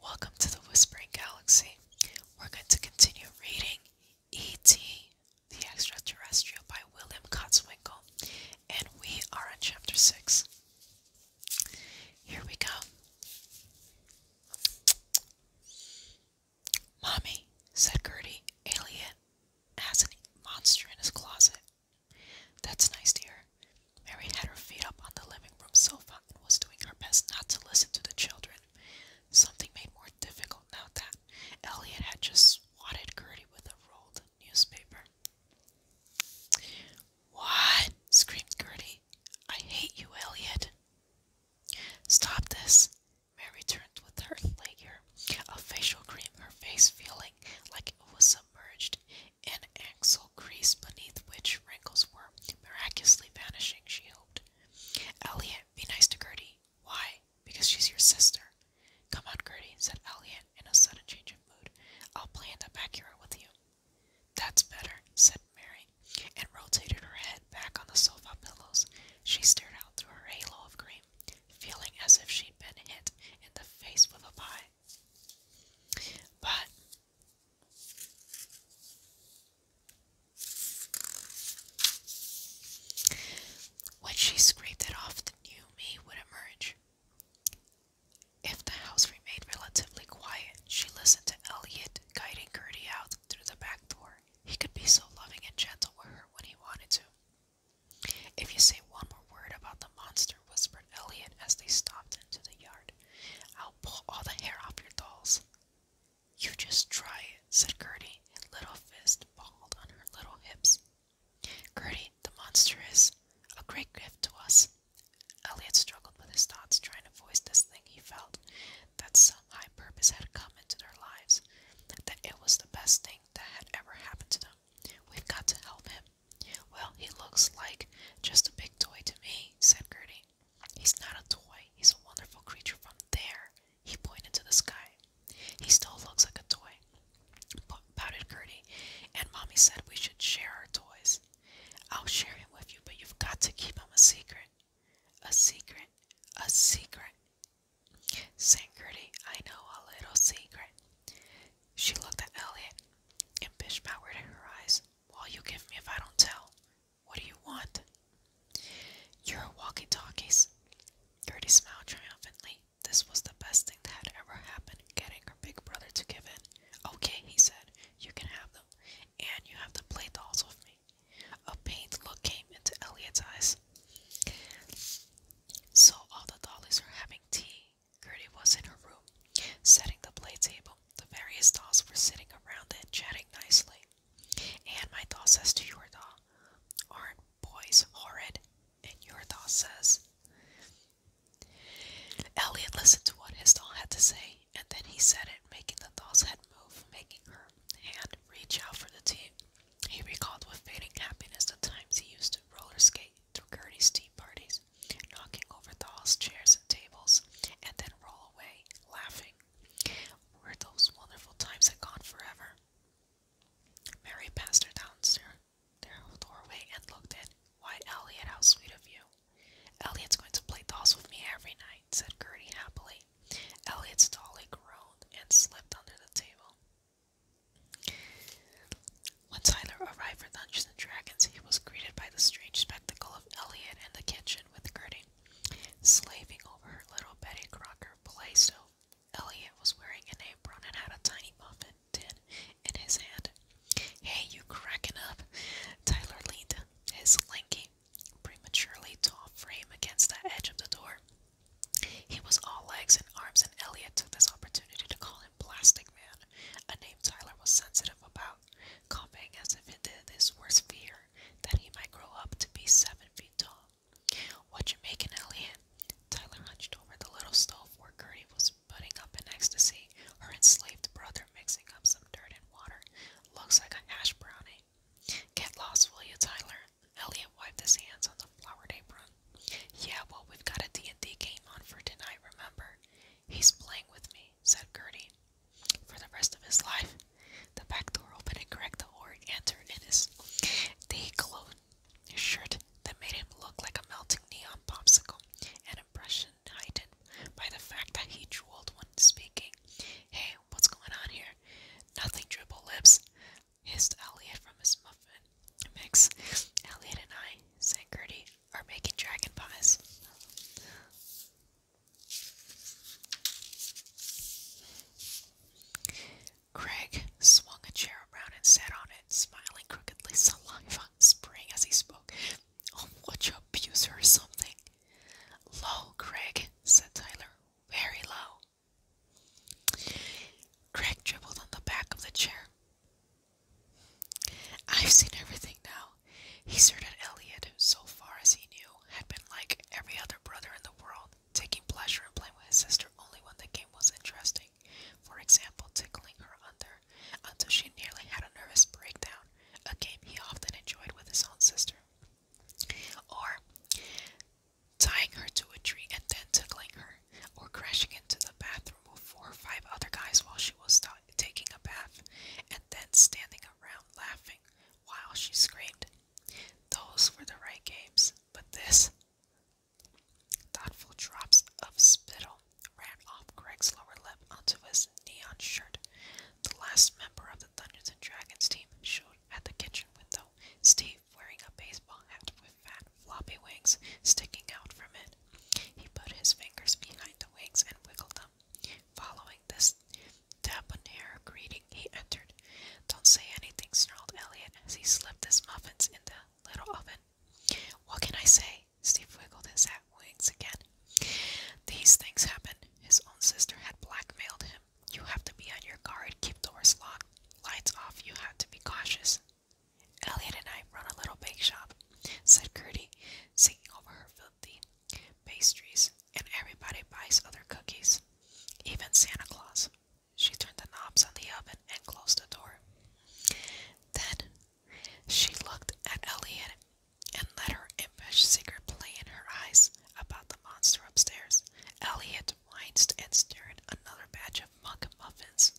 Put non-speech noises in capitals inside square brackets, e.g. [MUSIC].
Welcome to the Whispering Galaxy. We're going to continue reading E.T. The Extraterrestrial by William Kotzwinkle, and we are on Chapter 6. Here we go. Mommy, said Gertie, alien, has a monster in his closet. That's nice, dear. Mary had her feet up on the living room sofa and was doing her best not to listen to the children. Something made more difficult now that Elliot had just swatted Gertie with a rolled newspaper. What? screamed Gertie. I hate you, Elliot. Stop this. Mary turned with her layer of facial cream, her face feeling like it was submerged an axle crease beneath which wrinkles were miraculously vanishing, she hoped. Elliot, be nice to Gertie. Why? Because she's your sister. Come on, Gertie, said Elliot in a sudden change of mood. I'll play in the back yard with you. That's better, said Mary, and rotated her head back on the sofa pillows. She stared out through her halo of cream, feeling as if she'd been hit in the face with a pie. But when she scraped it off, the new me would emerge. If the house remained relatively quiet, she listened to Elliot guiding Gertie out through the back door. He could be so loving and gentle with her when he wanted to. If you say one more word about the monster, whispered Elliot as they stopped into the yard. I'll pull all the hair off your dolls. You just try it, said Gertie, little fist balled on her little hips. Gertie, the monster is a great gift to us. Elliot struggled with his thoughts, trying to voice this thing he felt that some high purpose had come into their lives, that it was the best thing that had ever happened to them. We've got to help him. Well, he looks like just a big toy to me, said Gertie. He's not a toy, he's a wonderful creature from there. He pointed to the sky. He still looks like a toy, pouted Gertie, and Mommy said we should share our toys. I'll share him with you, but you've got to keep him a secret. A secret, a secret, sang Gertie. I know a little secret. She looked at Elliot, and Bish powered her eyes. What'll you give me if I don't tell? What do you want? You're walkie talkies. Gertie smiled triumphantly. This was the best thing that had ever happened, getting her big brother to give in. Okay, he said, you can have them, and you have to play dolls with me. A pained look came into Elliot's eyes. So all the dollies are having tea, Gertie was in her room, setting the play table. The various dolls were sitting around it, chatting nicely. And my doll says to your doll, Aren't boys horrid? And your doll says, Elliot listened to what his doll had to say, and then he said it, making the doll's head move, making her hand reach out for the team. He recalled with fading happiness the times he used to roller skate through Gertie's tea parties, knocking over the hall's chairs and tables, and then roll away, laughing. Were those wonderful times had gone forever? Mary passed her downstairs their doorway and looked in. Why, Elliot, how sweet of you. Elliot's going to play dolls with me every night, said Gertie happily. Elliot's dolly groaned and slipped under the table. When Tyler arrived for Dungeons and Dragons, he was greeted by the strange spectacle of Elliot in the kitchen with Gertie, slaving over her little Betty Crocker play stove. Elliot was wearing an apron and had a tiny muffin tin in his hand. Hey, you cracking up? Tyler leaned his lanky, prematurely tall frame against the edge of the door. He was all legs and arms, and Elliot took this opportunity to call him and Plastic Man, a name Tyler was sensitive about, coughing as if it did this worse fear that he might grow up to be seven feet tall. What you making, Elliot? Tyler hunched over the little stove where Gertie was putting up in ecstasy, her enslaved brother mixing up some dirt and water. Looks like a ash brownie. Get lost, will you, Tyler? Elliot wiped his hands on the flowered apron. Yeah, well, we've got a D&D game on for tonight, remember? He's playing with me said Gertie. For the rest of his life. The back door opened and cracked the org entered in his day clothed shirt that made him look like a melting neon popsicle, an impression heightened by the fact that he drooled when speaking. Hey, what's going on here? Nothing, dribble lips, hissed Elliot from his muffin mix. Elliot and I, said Gertie, are making dragon pies. Craig swung a chair around and sat on it, smiling crookedly, [LAUGHS] saliva spraying as he spoke. Oh, what, you or something? Low, Craig, said Tyler. Very low. Craig dribbled on the back of the chair. I've seen everything now. He certain Elliot, so far as he knew, had been like every other brother in the world, taking pleasure in playing with his sister only when the game was interesting. For example, tickling her under until she nearly had a nervous breakdown, a game he often enjoyed with his own sister. Or tying her to a tree and then tickling her, or crashing into the bathroom with four or five other guys while she was taking a bath, and then standing around laughing while she screamed. Those were the right games, but this. Thoughtful drops of spittle ran off Greg's lower lip onto his neon shirt. The last member of the Dungeons and Dragons team showed at the kitchen window, Steve wearing a baseball hat with fat floppy wings sticking out from it. He put his fingers behind the wings and wiggled them. Following this debonair greeting, he entered. Don't say anything, snarled Elliot as he slipped his muffins in the little oven. What can I say? Steve wiggled his hat wings again. These things happen. His own sister had blackmailed him. You have to be on your guard, keep doors locked, lights off, you have to be cautious. Elliot and I run a little bake shop, said Curdie, singing over her filthy pastries, and everybody buys other cookies, even Santa Claus. She turned the knobs on the oven and closed the door. Then she looked at Elliot and let her impish secret play in her eyes about the monster upstairs. Elliot whined and stirred another batch of mug muffins.